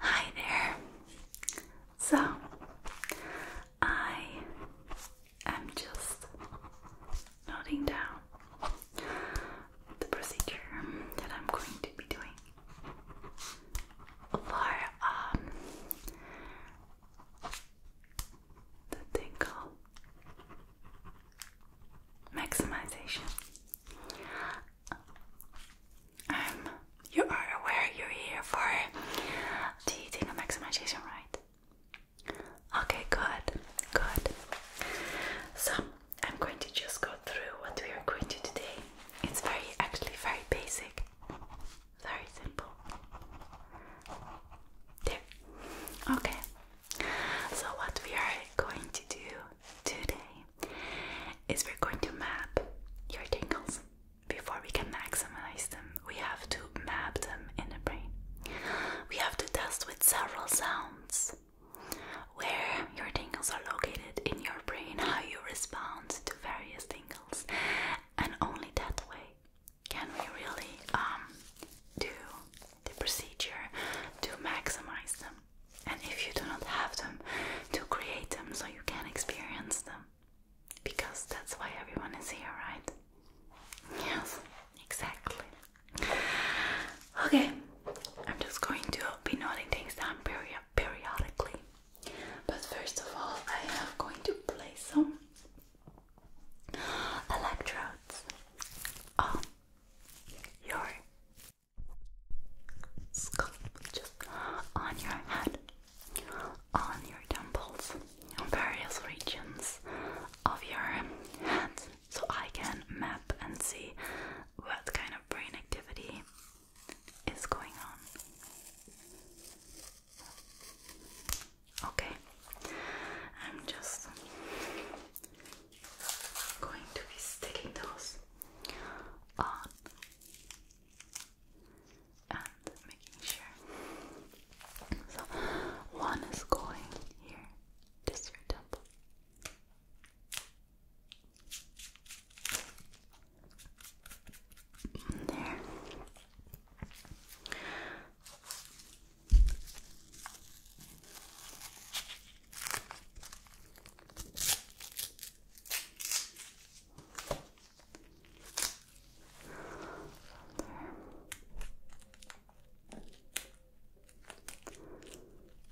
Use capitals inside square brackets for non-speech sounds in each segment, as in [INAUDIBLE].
Hi there. So, I am just noting down the procedure that I'm going to be doing for um, the tingle maximization. Um, you are aware you're here for the thing of maximization, right? Okay, good, good. So I'm going to just go through what we are going to today. It's very, actually, very basic, very simple. Okay, so what we are going to do today is we're going to map your tingles. Before we can maximize them, we have to map them in the brain. We have to test with several sounds where your tingles are located in your brain, how you respond to various tingles, and only that way can we really um, do the procedure to maximize them. And if you do not have them, to create them so you can experience them. Because that's why everyone is here, right? Yes, exactly. Okay, I'm just going to be noting things down periodically. But first of all, I am going to place some electrodes on um, your scalp, just on your head, on your temples, on various regions of your head, so I can map and see what kind of brain activity is going on. Okay, I'm just going to be sticking those on and making sure. So one is going here, this your temple. There.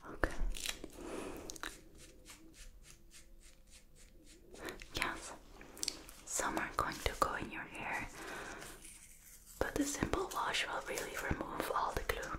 Okay. Yes. Some are going to go in your hair, but the simple wash will really remove all the glue.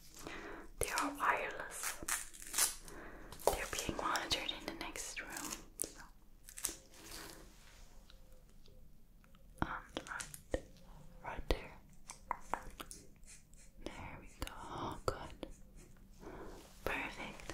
They are wireless. They're being monitored in the next room. And um, right, right there. There we go. Oh, good. Perfect.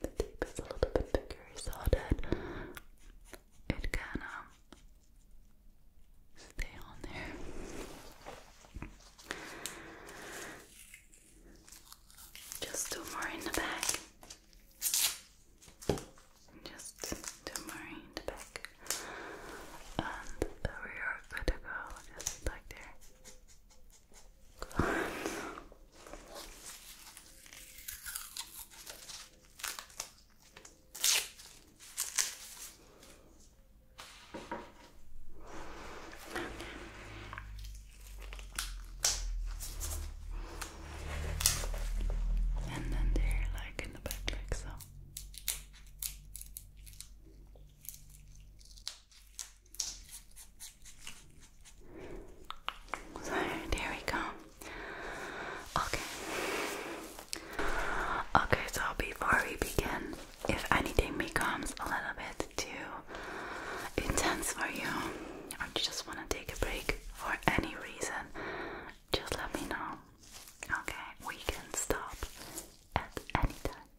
The tape is a little bit thicker, so that it can stay on there. Just two more in the back. Just two more in the back. And we are good to go, just like there. And then there, like in the back, like so. So there we go. Okay. Okay, so before we begin, if anything becomes a little bit too intense for you, or you just want to take a break for any reason, just let me know. Okay, we can stop at any time.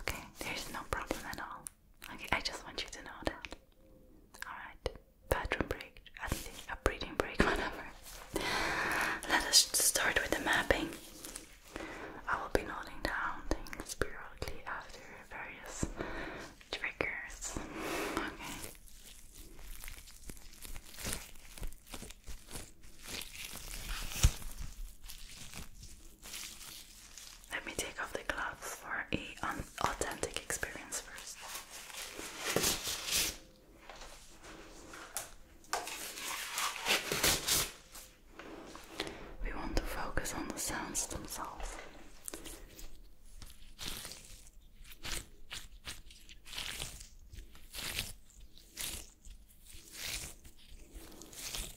Okay, there's no problem at all. Okay, I just want you to know that. Alright, bathroom break, I think a breathing break, [LAUGHS] whatever. Let us start with the mapping. I will be noting down things periodically after various triggers. Okay. Let me take off the gloves for an authentic experience first. We want to focus on the sounds themselves.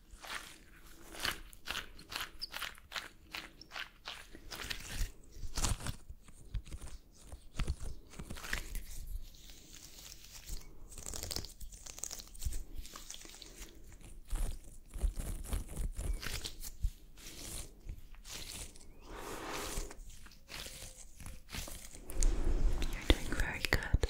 You're doing very good.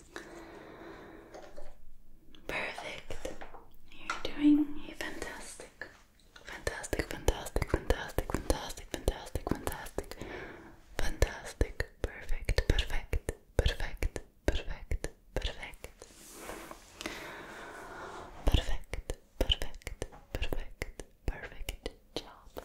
Perfect. You're doing fantastic. Fantastic, fantastic, fantastic, fantastic, fantastic, fantastic, fantastic, perfect, perfect, perfect, perfect, perfect. Perfect, perfect, perfect, perfect job.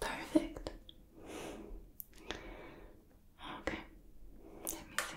Perfect. Okay, let me see.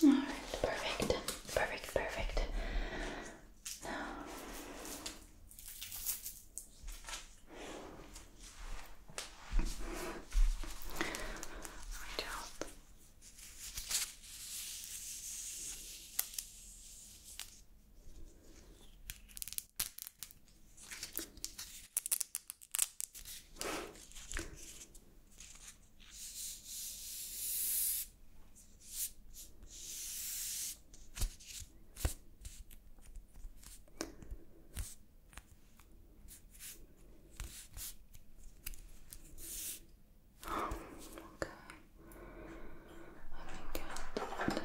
All right, perfect, perfect, perfect. Now. Right out. Oh, okay. Let me get that.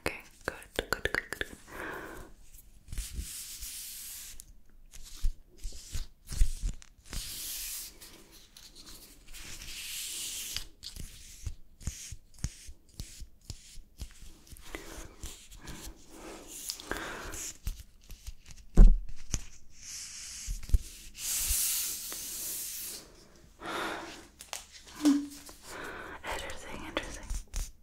Okay, good, good, good, good. Hmm. Interesting, interesting.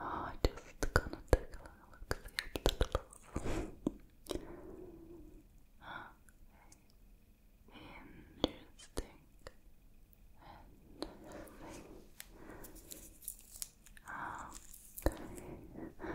Oh, just gonna take a look at the petals. Interesting. Oh. Oh. Okay.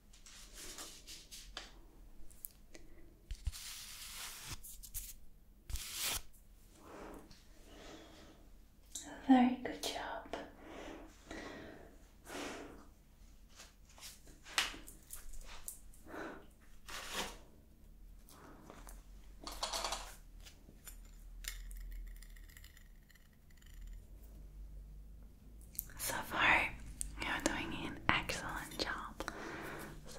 Very good job. So far, you're doing an excellent job. So,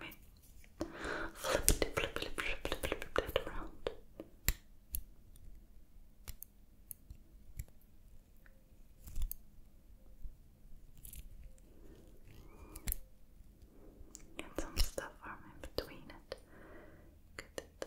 Wait. Flip it, flip it, flip it, flip it, flip it around. Get some stuff from in between it. Get it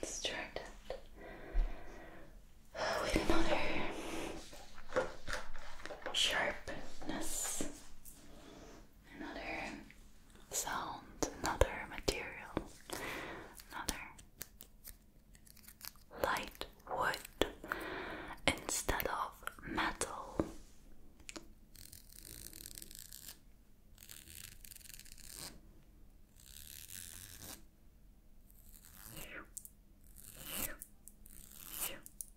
Let's try that with another sharpness another sound, another material, another light wood instead of metal.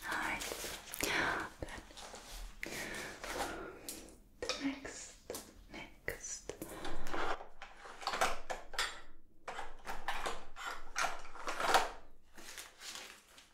All right. Good. next, next.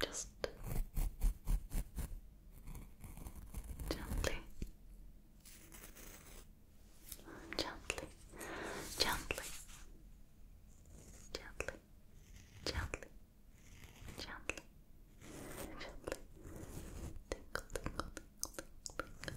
Just gently Gently, gently, gently, gently, gently, gently. Tinkle, tinkle, tinkle, tinkle,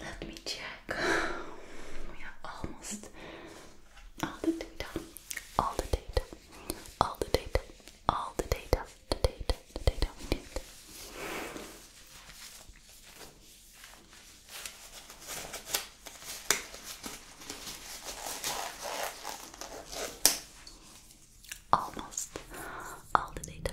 Let me check. We are almost all the data, all the data, all the data, all the data, the data, the data we need. Almost all the data.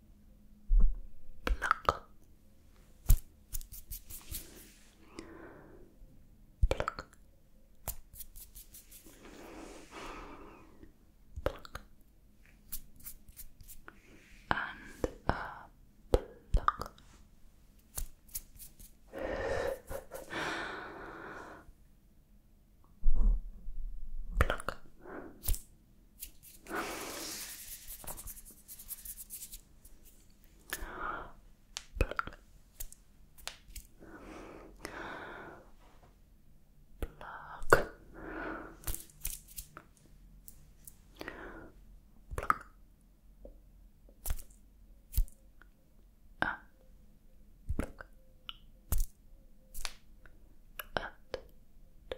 Pluck. Pluck. Pluck. And a pluck. Pluck. Pluck. Pluck. Ah. Pluck. At. Ah.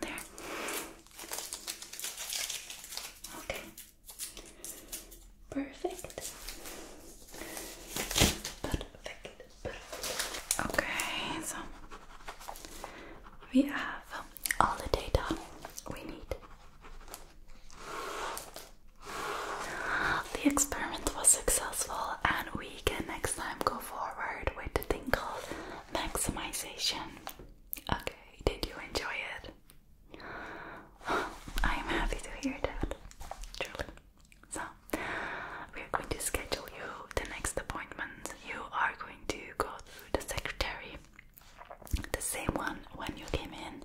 There. Okay. Perfect. Perfect. Perfect. Okay, so we have all the data we need. The experiment was successful, and we can next time go forward with the thing called maximization. Okay, did you enjoy it? [SIGHS] I am happy to hear that, truly. So, we are going to schedule you the next appointment. You are going to go through the secretary, the same one when you came in.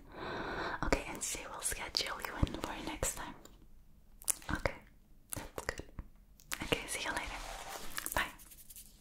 Okay, and she will schedule you in for next time. Okay, that's good. Okay, see you later. Bye.